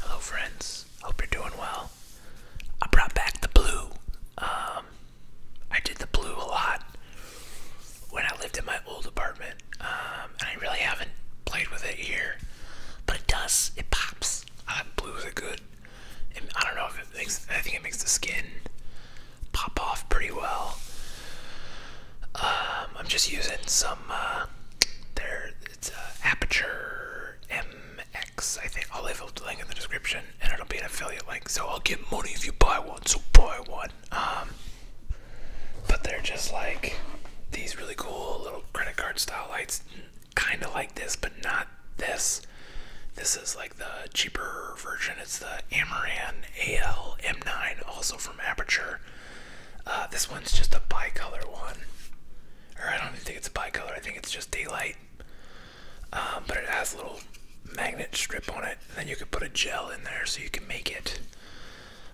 Hello, friends. Hope you're doing well. I brought back the blue. Um, I did the blue a lot when I lived in my old apartment, um, and I really haven't played with it here. But it does. It pops. I like blue is good. I don't know if it makes. I think it makes the skin pop off pretty well. Um, I'm just using some. Uh, there it's uh, Aperture MX, I think. I'll leave a link in the description and it'll be an affiliate link. So I'll get money if you buy one, so buy one. Um, but they're just like these really cool little credit card style lights, kind of like this, but not this. This is like the cheaper version. It's the Amaran AL M9, also from Aperture. Uh, this one's just a bi-color one or I don't think it's a bicolor. I think it's just daylight. Um, but it has a little magnet strip on it. And then you could put a gel in there so you can make it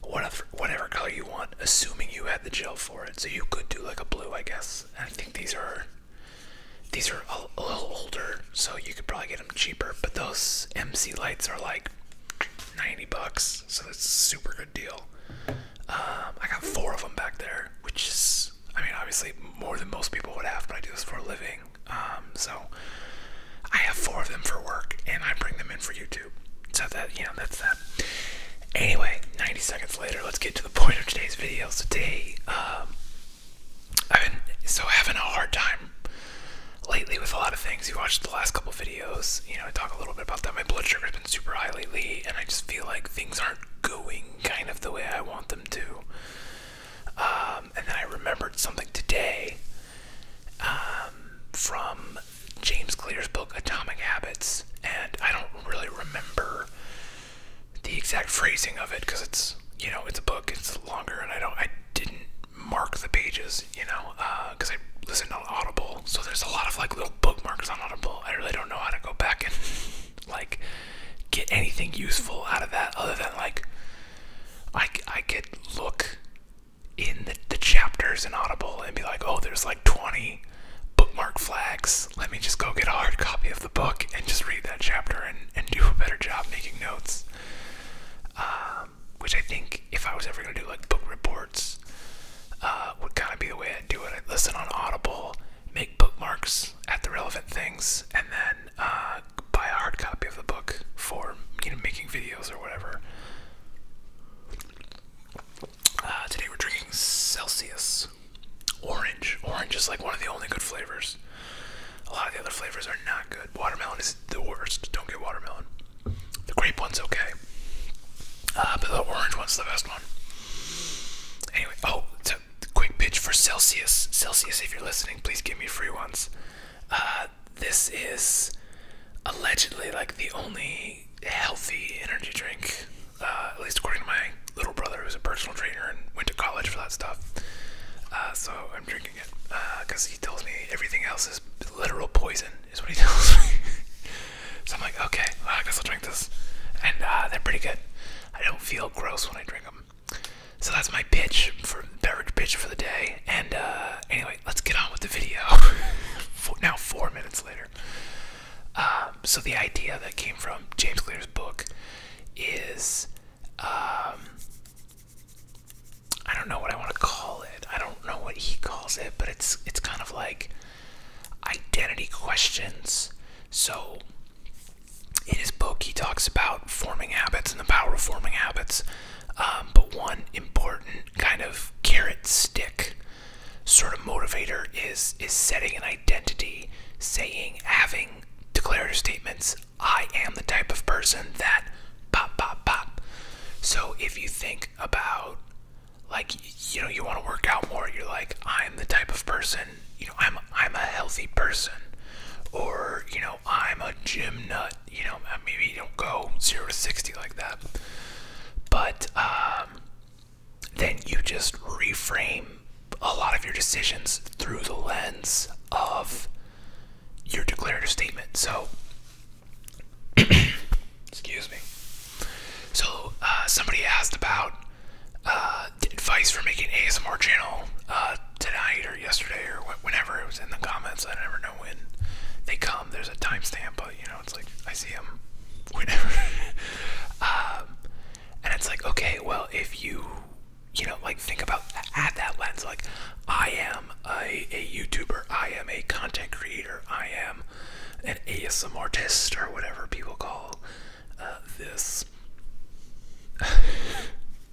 whatever, whatever color you want, assuming you had the gel for it. So you could do like a blue, I guess. And I think these are these are a, little older, so you could probably get them cheaper. But those MC lights are like 90 bucks, so it's a super good deal. Um, I got four of them back there, which is, I mean, obviously more than most people would have, but I do this for a living. Um, so I have four of them for work, and I bring them in for YouTube. So that, you know, that's that. Anyway, 90 seconds later, let's get to the point of today's videos. today, um, I've been so having a hard time lately with a lot of things. You watched the last couple videos you know, I talk a little bit about that. My blood sugar's been super high lately, and I just feel like things aren't going kind of the way I want them to. Um, and then I remembered something today um, from James Clear's book, Atomic Habits, and I don't really remember the exact phrasing of it because it's, you know, it's a book, it's longer, and I don't, I didn't mark the pages, you know because uh, I listen on Audible, so there's a lot of like little bookmarks on Audible. I really don't know how to go back and like get anything useful out of that other than like I, I could look in the, chapters in Audible and be like, oh, there's like 20 bookmark flags. Let me just go get a hard copy of the book and just read that chapter and, and do a better job making notes. Um, which I think if I was ever going to do like book reports, uh, would kind of be the way i do it. i listen on Audible, make bookmarks at the relevant things, and then uh, buy a hard copy of the book for you know making videos or whatever. Uh, today we're drinking Celsius orange. Orange is like one of the only good flavors. A lot of the other flavors are not good. Watermelon is the worst. Don't get watermelon. The grape one's okay, uh, but the orange one's the best one. Anyway, oh, quick pitch for Celsius. Celsius, if you're listening, please give me free ones. Uh, this is allegedly like the only healthy energy drink, uh, at least according to my little brother who's a personal trainer and went to college for that stuff. so I'm drinking it because he tells me everything else is literal poison is what he tells me. so I'm like, okay, I guess I'll drink this. And uh, they're pretty good. I don't feel gross when I drink them. So that's my pitch for beverage pitch for the day. And uh, anyway, let's get on with the video. now four minutes later. Um, so the idea that came from James Clear's book is um, I don't know what I want to call it. I don't know what he calls it, but it's it's kind of like identity questions. So in his book, he talks about forming habits and the power of forming habits. Um, but one important kind of carrot stick sort of motivator is is setting an identity, saying, having declarative statements. I am the type of person that pop, pop, pop. So if you think about like you know you want to work out more you're like i'm the type of person you know i'm i'm a healthy person or you know i'm a gym nut you know maybe you don't go 0 to 60 like that but um, then you just reframe a lot of your decisions through the lens of your declarative statement so Excuse me. So uh, somebody asked about uh, advice for making ASMR channel uh, tonight or yesterday or whenever it was in the comments. I never know when they come. There's a timestamp, but you know it's like I see them whenever. Um, and it's like okay, well if you you know like think about add that lens like I am a YouTuber, I am a content creator, I am an ASM artist or whatever people call uh, this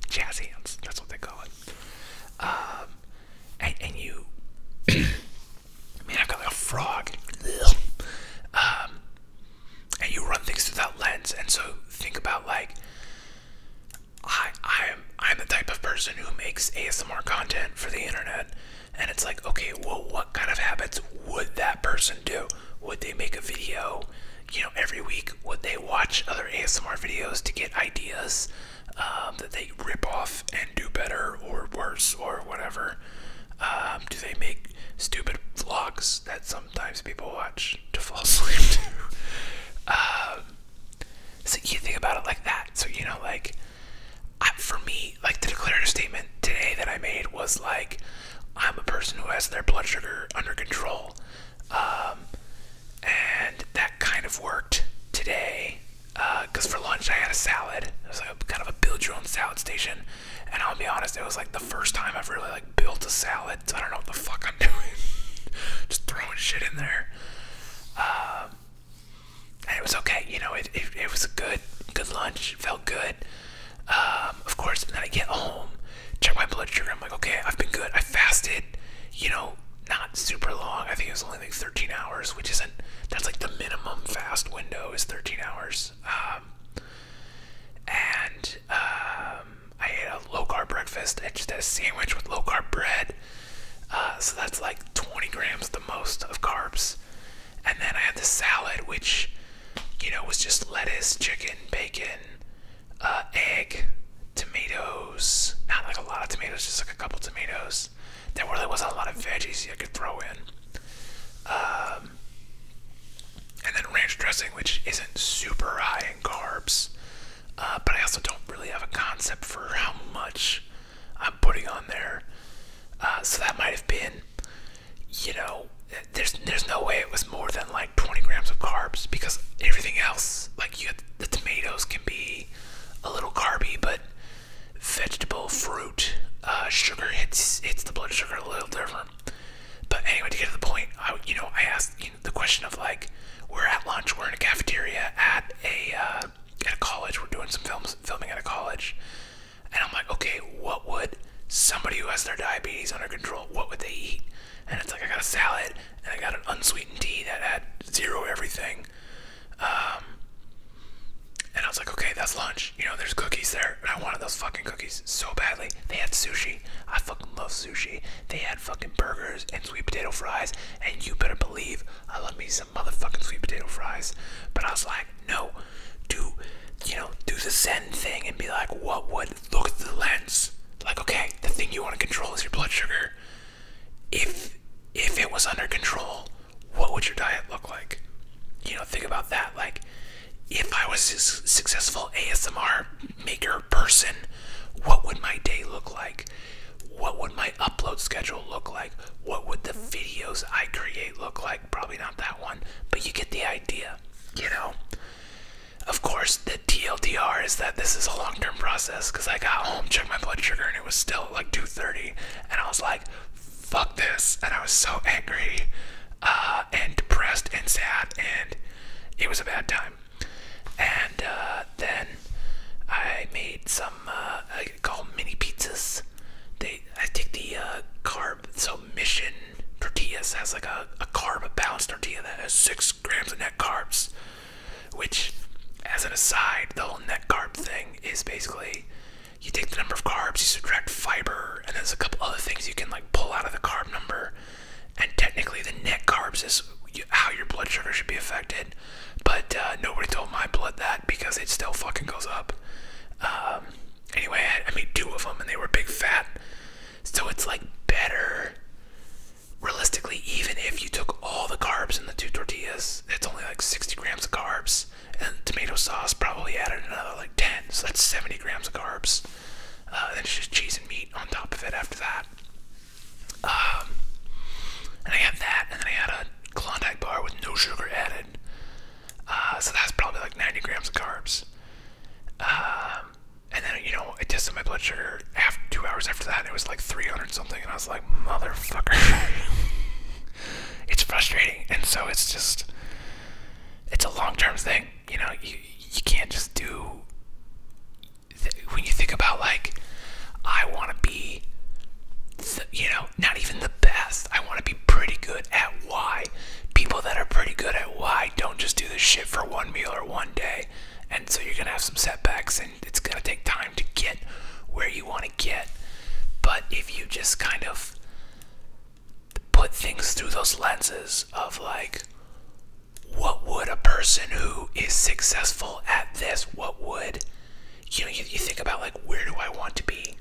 jazz hands. That's what they call it. Um, and, you, man, I've got like a frog. Um, and you run things through that lens, and so think about like I I I'm the type of person who makes ASMR content for the internet. And it's like, okay, well, what kind of habits would that person do? Would they make a video, you know, every week? Would they watch other ASMR videos to get ideas um, that they rip off and do better or worse or whatever? Um, do they make stupid vlogs that sometimes people watch to fall asleep to? Um, so you think about it like that. So, you know, like, for me, like the declarative statement today that I made was like, I'm a person who has their blood sugar under control. Um, and that kind of worked today because uh, for lunch I had a salad. It was like kind of a build your own salad station. And I'll be honest, it was like the first time I've really like built a salad. So I don't know what the fuck I'm doing. Just throwing shit in there. Um, and it was okay. You know, it it, was a good good lunch. Felt good. Um, of course, and then I get home, check my blood sugar. I'm like, okay, I've been good. I fasted. You know, not super long. I think it was only like 13 hours, which isn't. That's like the minimum fast window is 13 hours. Um, and um, I ate a low carb breakfast. I just a sandwich with low carb bread. Uh, so that's like 20 grams the most of carbs. And then I had the salad, which, you know, was just lettuce, chicken, bacon, uh, egg, tomatoes. Not like a lot of tomatoes, just like a couple tomatoes. There really wasn't a lot of veggies I could throw in. Um, and then ranch dressing, which isn't super high in carbs. Uh, but I also don't really have a concept for how much I'm putting on there. Uh, so that might have been, you know, there's there's no way it was more than like 20 grams of carbs because everything else, like you, the tomatoes can be a little carby, but vegetable, fruit, uh, sugar hits hits the blood sugar a little different. But anyway, to get to the point, I, you know, I asked you know, the question of like, we're at lunch, we're in a cafeteria at a uh, at a college. We're doing some films, filming at a college, and I'm like, okay, what would somebody who has their diabetes under control, what would they eat? And it's like I got a salad and I got an unsweetened tea that had zero everything. Um, and I was like, okay, that's lunch. You know, there's cookies there, and I wanted those fucking cookies so badly. They had sushi. I fucking love sushi. They had fucking burgers and sweet potato fries, and you better believe I love me some motherfucking sweet potato fries. But I was like, no, do you know, do the Zen thing and be like, what would look at the lens? Like, okay, the thing you want to control is your blood sugar. If if it was under control, what would your diet look like? You know, think about that. Like, if I was a successful ASMR maker person, what would my day look like? what would my upload schedule look like? What would the videos I create look like? Probably not that one, but you get the idea, you know? Of course, the TLDR is that this is a long term process because I got home, checked my blood sugar, and it was still like 2.30, and I was like, fuck this. And I was so angry uh, and depressed and sad, and it was a bad time. And uh, then I made some uh, I call mini pizzas. They I take the uh, carb so Mission tortillas has like a, a carb a balanced tortilla that has six grams of net carbs, which as an aside, the whole net carb thing is basically you take the number of carbs, you subtract fiber, and there's a couple other things you can like pull out of the carb number. And technically, the net carbs is how your blood sugar should be affected. But uh, nobody told my blood that because it still fucking goes up. Um, anyway, I, made two of them and they were big fat. So it's like better. Realistically, even if you took all the carbs in the two tortillas, it's only like 60 grams of carbs. And the tomato sauce probably added another like 10, so that's 70 grams of carbs. Uh, then it's just cheese and meat on top of it after that. Um, and I had that, and then I had a Klondike bar with no sugar added. Uh, so that's probably like 90 grams of carbs. Um, and then, you know, I tested my blood sugar after, two hours after that, it was like 300 something, and I was like, motherfucker. it's frustrating, and so it's just, it's a long term thing. You know, you, you can't just do when you think about like I want to be you know not even the best I want to be pretty good at why people that are pretty good at why don't just do this shit for one meal or one day and so you're gonna have some setbacks and it's gonna take time to get where you want to get but if you just kind of put things through those lenses of like what would a person who is successful at this, what would you know? You, think about like where do I want to be,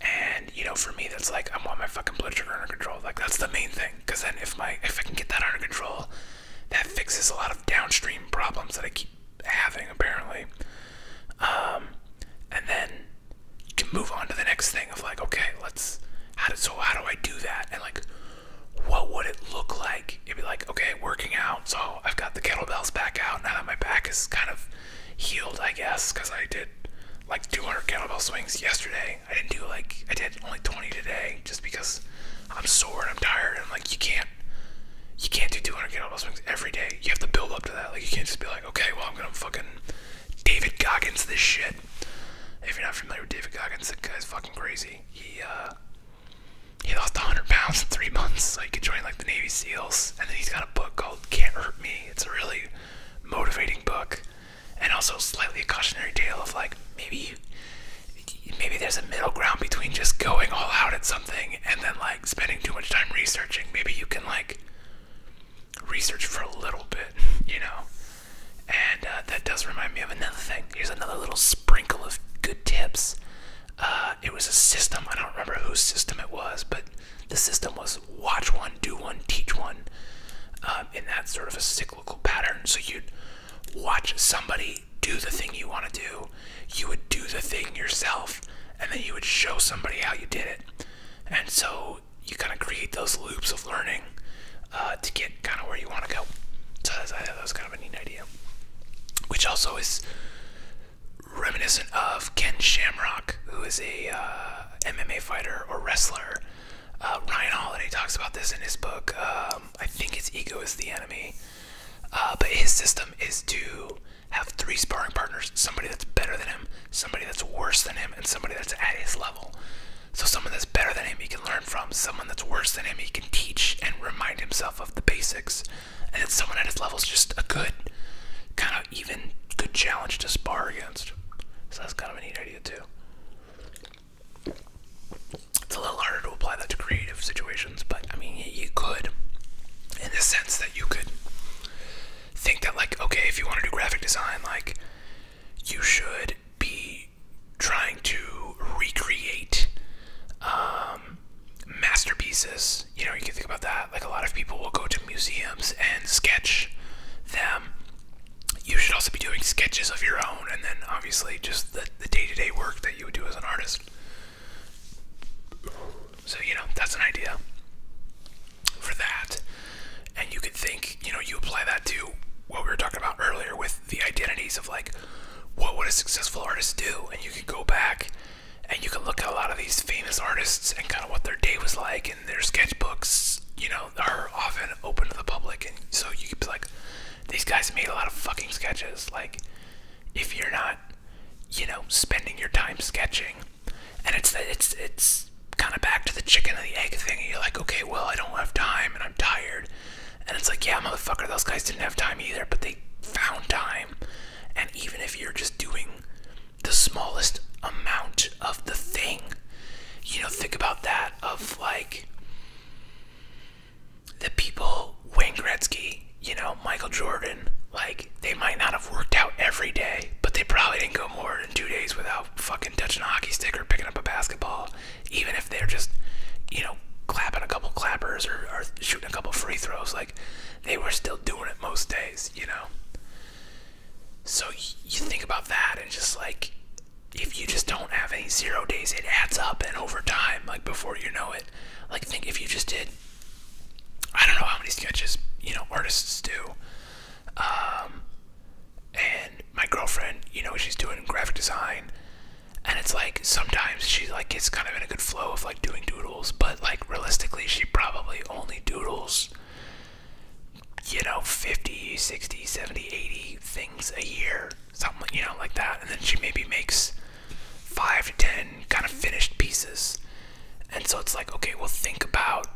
and you know, for me, that's like I want my fucking blood sugar under control. Like that's the main thing, because then if my if I can get that under control, that fixes a lot of downstream problems that I keep having apparently. Um, and then you can move on to the next thing of like, okay, let's how do so how do I do that and like what would it look like? It'd be like, okay, working out. So I've got the kettlebells back out now that my back is kind of healed, I guess, because I did like 200 kettlebell swings yesterday. I didn't do like, I did only 20 today just because I'm sore and I'm tired. And like, you can't, you can't do 200 kettlebell swings every day. You have to build up to that. Like, you can't just be like, okay, well, I'm going to fucking David Goggins this shit. If you're not familiar with David Goggins, that guy's fucking crazy. He, uh, he lost 100 pounds in three months, so he could join like the Navy SEALs. And then he's got a book called Can't Hurt Me. It's a really motivating book, and also slightly a cautionary tale of like maybe, maybe there's a middle ground between just going all out at something and then like spending too much time researching. Maybe you can like research for a little bit, you know. And uh, that does remind me of another thing. Here's another little sprinkle of good tips. Uh, it was a system. I don't remember whose system it was, but the system was watch one, do one, teach one. Um, in that sort of a cyclical pattern. So you'd watch somebody do the thing you want to do, you would do the thing yourself, and then you would show somebody how you did it. And so you kind of create those loops of learning uh, to get kind of where you want to go. So that was kind of a neat idea, which also is reminiscent of Ken Shamrock, who is a uh, MMA fighter or wrestler. Uh, Ryan Holiday talks about this in his book. Um, I think it's Ego is the Enemy. Uh, but his system is to have three sparring partners somebody that's better than him, somebody that's worse than him, and somebody that's at his level. So, someone that's better than him, he can learn from. Someone that's worse than him, he can teach and remind himself of the basics. And it's someone at his level is just a good, kind of even good challenge to spar against. So that's kind of a neat idea too. It's a little harder to apply that to creative situations, but I mean, you could, in the sense that you could think that, like, okay, if you want to do graphic design, like, you should be trying to recreate um, masterpieces. You know, you can think about that. Like a lot of people will go to museums and sketch them. You should also be doing sketches of your own, and then obviously just the, the day to day work that you would do as an artist. So, you know, that's an idea for that. And you could think, you know, you apply that to what we were talking about earlier with the identities of like what would a successful artist do? And you could go back and you could look at a lot of these famous artists and kind of what their day was like and their sketchbooks, you know, are often open to the public. And so you could be like, these guys made a lot of fucking sketches. Like, if you're not, you know, spending your time sketching, and it's it's it's kind of back to the chicken and the egg thing. And you're like, okay, well, I don't have time and I'm tired. And it's like, yeah, motherfucker, those guys didn't have time either, but they found time. And even if you're just doing the smallest amount of the thing, you know, think about that of like the people, Wayne Gretzky, you know, Michael Jordan, like they might not have worked out every day, but they probably didn't go more than two days without fucking touching a hockey stick or picking up a basketball even if they're just, you know, clapping a couple clappers or, shooting a couple free throws, like they were still doing it most days, you know. So you think about that and just like if you just don't have any zero days, it adds up and over time, like before you know it, like think if you just did, I don't know how many sketches you know artists do. Um, and my girlfriend, you know, she's doing graphic design and it's like sometimes she like gets kind of in a good flow of like doing doodles, but like realistically she probably only doodles you know 50, 60, 70, 80 things a year, something you know like that, and then she maybe makes 5 to 10 kind of finished pieces. And so it's like, okay, well think about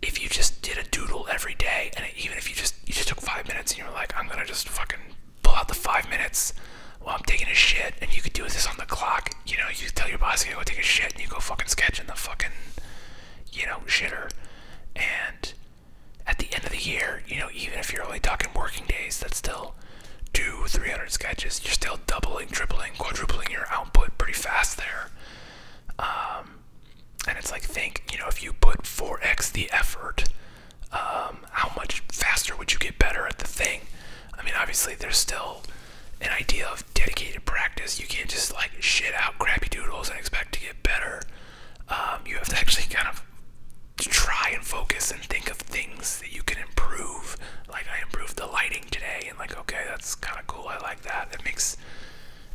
if you just did a doodle every day and even if you just you just took 5 minutes and you are like, I'm going to just fucking pull out the five minutes while I'm taking a shit, and you could do this on the clock. You know, you tell your boss you go take a shit, and you go fucking sketch in the fucking, you know, shitter. And at the end of the year, you know, even if you're only talking working days, that's still two, 300 sketches. You're still doubling, tripling, quadrupling your output pretty fast there. Um, and it's like think you know if you put 4x the effort um, how much faster would you get better at the thing i mean obviously there's still an idea of dedicated practice you can't just like shit out crappy doodles and expect to get better um, you have to actually kind of try and focus and think of things that you can improve like i improved the lighting today and like okay that's kind of cool i like that It makes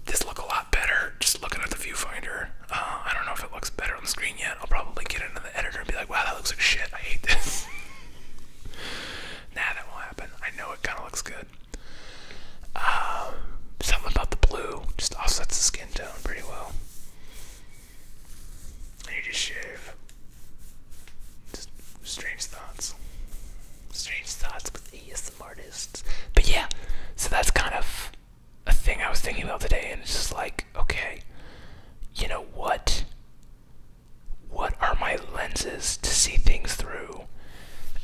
this look a lot better just looking at the viewfinder uh, I don't know if it looks better on the screen yet. I'll probably get into the editor and be like, wow, that looks like shit. I hate this. nah, that won't happen. I know it kind of looks good. Um, something about the blue just offsets the skin tone pretty well. And you just shave. Just strange thoughts. Strange thoughts with the artists. But yeah, so that's kind of a thing I was thinking about today, and it's just like, okay, you know what? What are my lenses to see things through?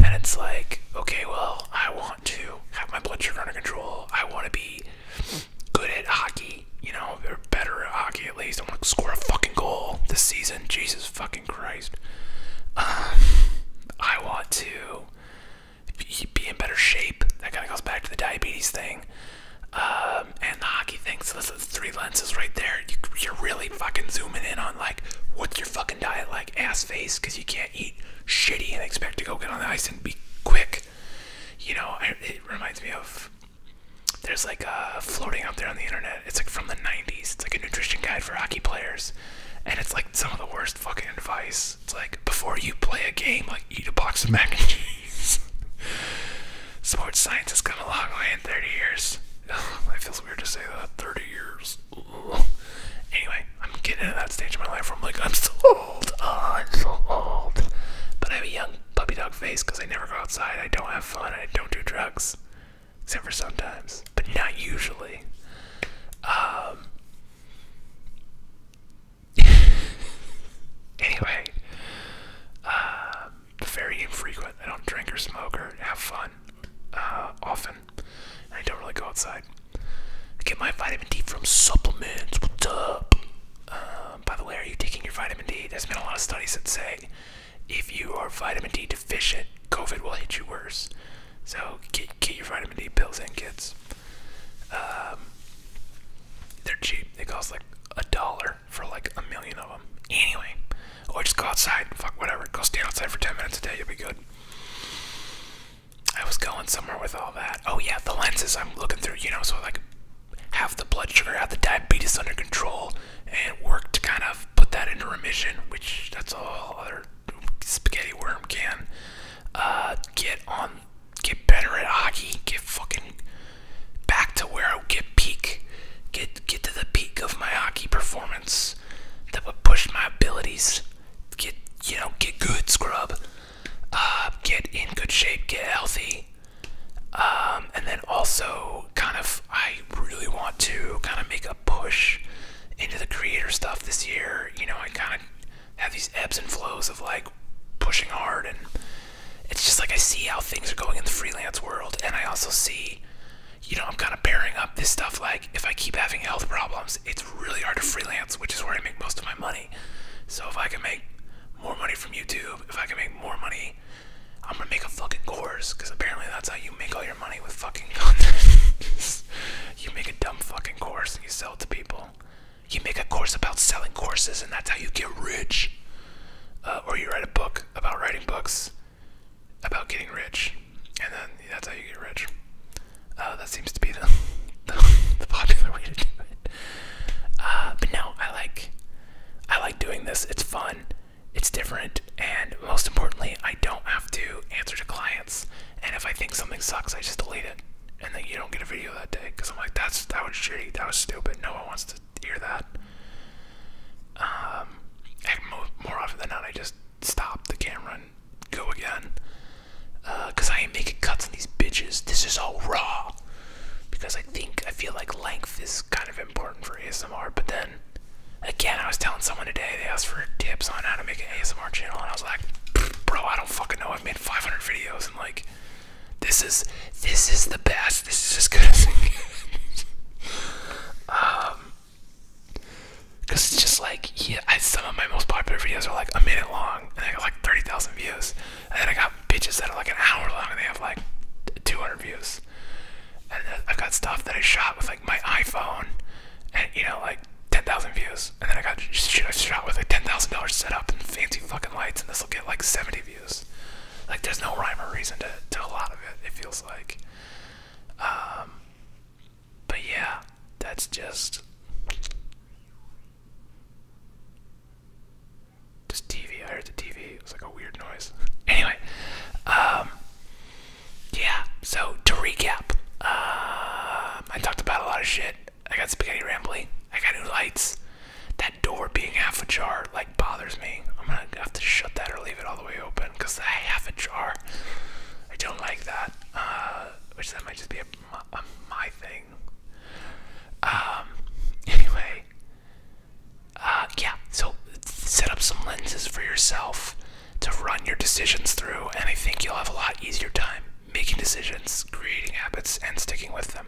And it's like, okay, well, I want to have my blood sugar under control. I want to be good at hockey, you know, better at hockey at least. I want to score a fucking goal this season. Jesus fucking Christ. Um, I want to be in better shape. That kind of goes back to the diabetes thing um, and the hockey thing. So this is three lenses right there. You, are really fucking zooming in on like what's your fucking diet like, ass face, because you can't eat shitty and expect to go get on the ice and be quick. You know, it reminds me of there's like a uh, floating out there on the internet. It's like from the 90s. It's like a nutrition guide for hockey players, and it's like some of the worst fucking advice it's like before you play a game, like eat a box of mac and cheese. Sports science has come a long way in 30 years. Ugh, it feels weird to say that. 30 years. Anyway, I'm getting to that stage of my life where I'm like, I'm so old. Ah, I'm so old. But I have a young puppy dog face because I never go outside. I don't have fun. I don't do drugs. Except for sometimes, but not usually. Um, anyway, uh, very infrequent. I don't drink or smoke or have fun uh, often. I don't really go outside. I get my vitamin D from supplements. What's up? Um, by the way, are you taking your vitamin D? There's been a lot of studies that say if you are vitamin D deficient, COVID will hit you worse. So get, get your vitamin D pills in, kids. Um, they're cheap. They cost like a dollar for like a million of them. Anyway, or oh, just go outside. Fuck whatever. Go stand outside for ten minutes a day. You'll be good. I was going somewhere with all that. Oh yeah, the lenses I'm looking through. You know, so like half the blood sugar, have the diabetes under control, and work to kind of put that into remission. Which that's all other spaghetti worm can uh, get on, get better at hockey, get fucking back to where I get peak, get get to the peak of my hockey performance that would push my abilities. Get you know, get good, scrub. Uh, get in good shape, get healthy. Um, and then also, kind of, I really want to kind of make a push into the creator stuff this year. You know, I kind of have these ebbs and flows of like pushing hard and it's just like I see how things are going in the freelance world and I also see you know I'm kind of pairing up this stuff like if I keep having health problems it's really hard to freelance which is where I make most of my money so if I can make more money from YouTube if I can make more money I'm gonna make a fucking course because apparently that's how you make all your money with fucking content You make a dumb fucking course and you sell it to people. You make a course about selling courses and that's how you get rich. Uh, or you write a book about writing books about getting rich. And then that's how you get rich. Uh, that seems to be the, popular way to do it. Uh, but no, I like, I like doing this. It's fun. It's different. And most importantly, I don't have to answer to clients. And if I think something sucks, I just delete it. And then you don't get a video that day because I'm like, that's that was shitty, that was stupid. No one wants to hear that. Um, more often than not, I just stop the camera and go again. Uh, cause I ain't making cuts on these bitches. This is all raw. Because I think I feel like length is kind of important for ASMR. But then, again, I was telling someone today they asked for tips on how to make an ASMR channel, and I was like, bro, I don't fucking know. I've made 500 videos and like, this is this is the best. This is as good as um, cause it's just like yeah, some of my most popular videos are like a minute long and I got like 30,000 views, and then I got bitches that are like an hour long and they have like 200 views. And I've got stuff that I shot with like my iPhone, and you know like. 10,000 views, and then I got shit I shot with a $10,000 setup and fancy fucking lights, and this will get like 70 views. Like, there's no rhyme or reason to, to a lot of it, it feels like. Um, but yeah, that's just. Just TV. I heard the TV. It was like a weird noise. Anyway, um, yeah, so to recap, um, I talked about a lot of shit. I got spaghetti rambling. I got new lights. That door being half ajar like bothers me. I'm gonna have to shut that or leave it all the way open because I half ajar. I don't like that. Uh, which that might just be a, my thing. Um, anyway. Uh, yeah. So set up some lenses for yourself to run your decisions through, and I think you'll have a lot easier time making decisions, creating habits, and sticking with them.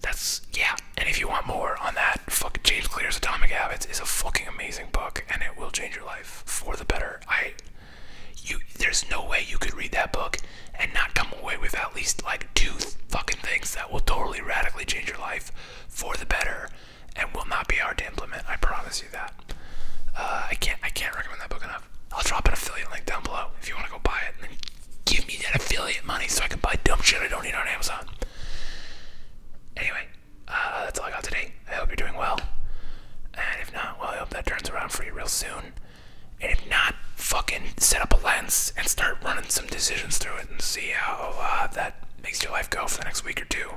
That's yeah. And if you want more on that, fuck James Clear's Atomic Habits is a fucking amazing book, and it will change your life for the better. I, you, there's no way you could read that book and not come away with at least like two fucking things that will totally radically change your life for the better and will not be hard to implement. I promise you that. Uh, I can't I can't recommend that book enough. I'll drop an affiliate link down below if you want to go buy it. And give me that affiliate money so I can buy dumb shit I don't need on Amazon. Anyway, uh, that's all I got today. I hope you're doing well. And if not, well, I hope that turns around for you real soon. And if not, fucking set up a lens and start running some decisions through it and see how uh, that makes your life go for the next week or two.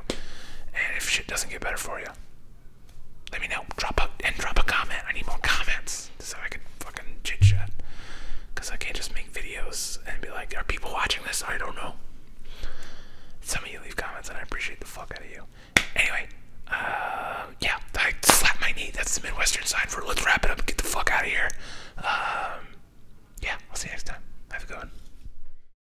And if shit doesn't get better for you, let me know. Drop a and drop a comment. I need more comments so I can fucking chit chat. Cause I can't just make videos and be like, are people watching this? I don't know. Some of you leave comments and I appreciate the fuck out of you. Anyway, uh, yeah, I slap my knee. That's the Midwestern sign for let's wrap it up and get the fuck out of here. Um, yeah, I'll see you next time. Have a good one.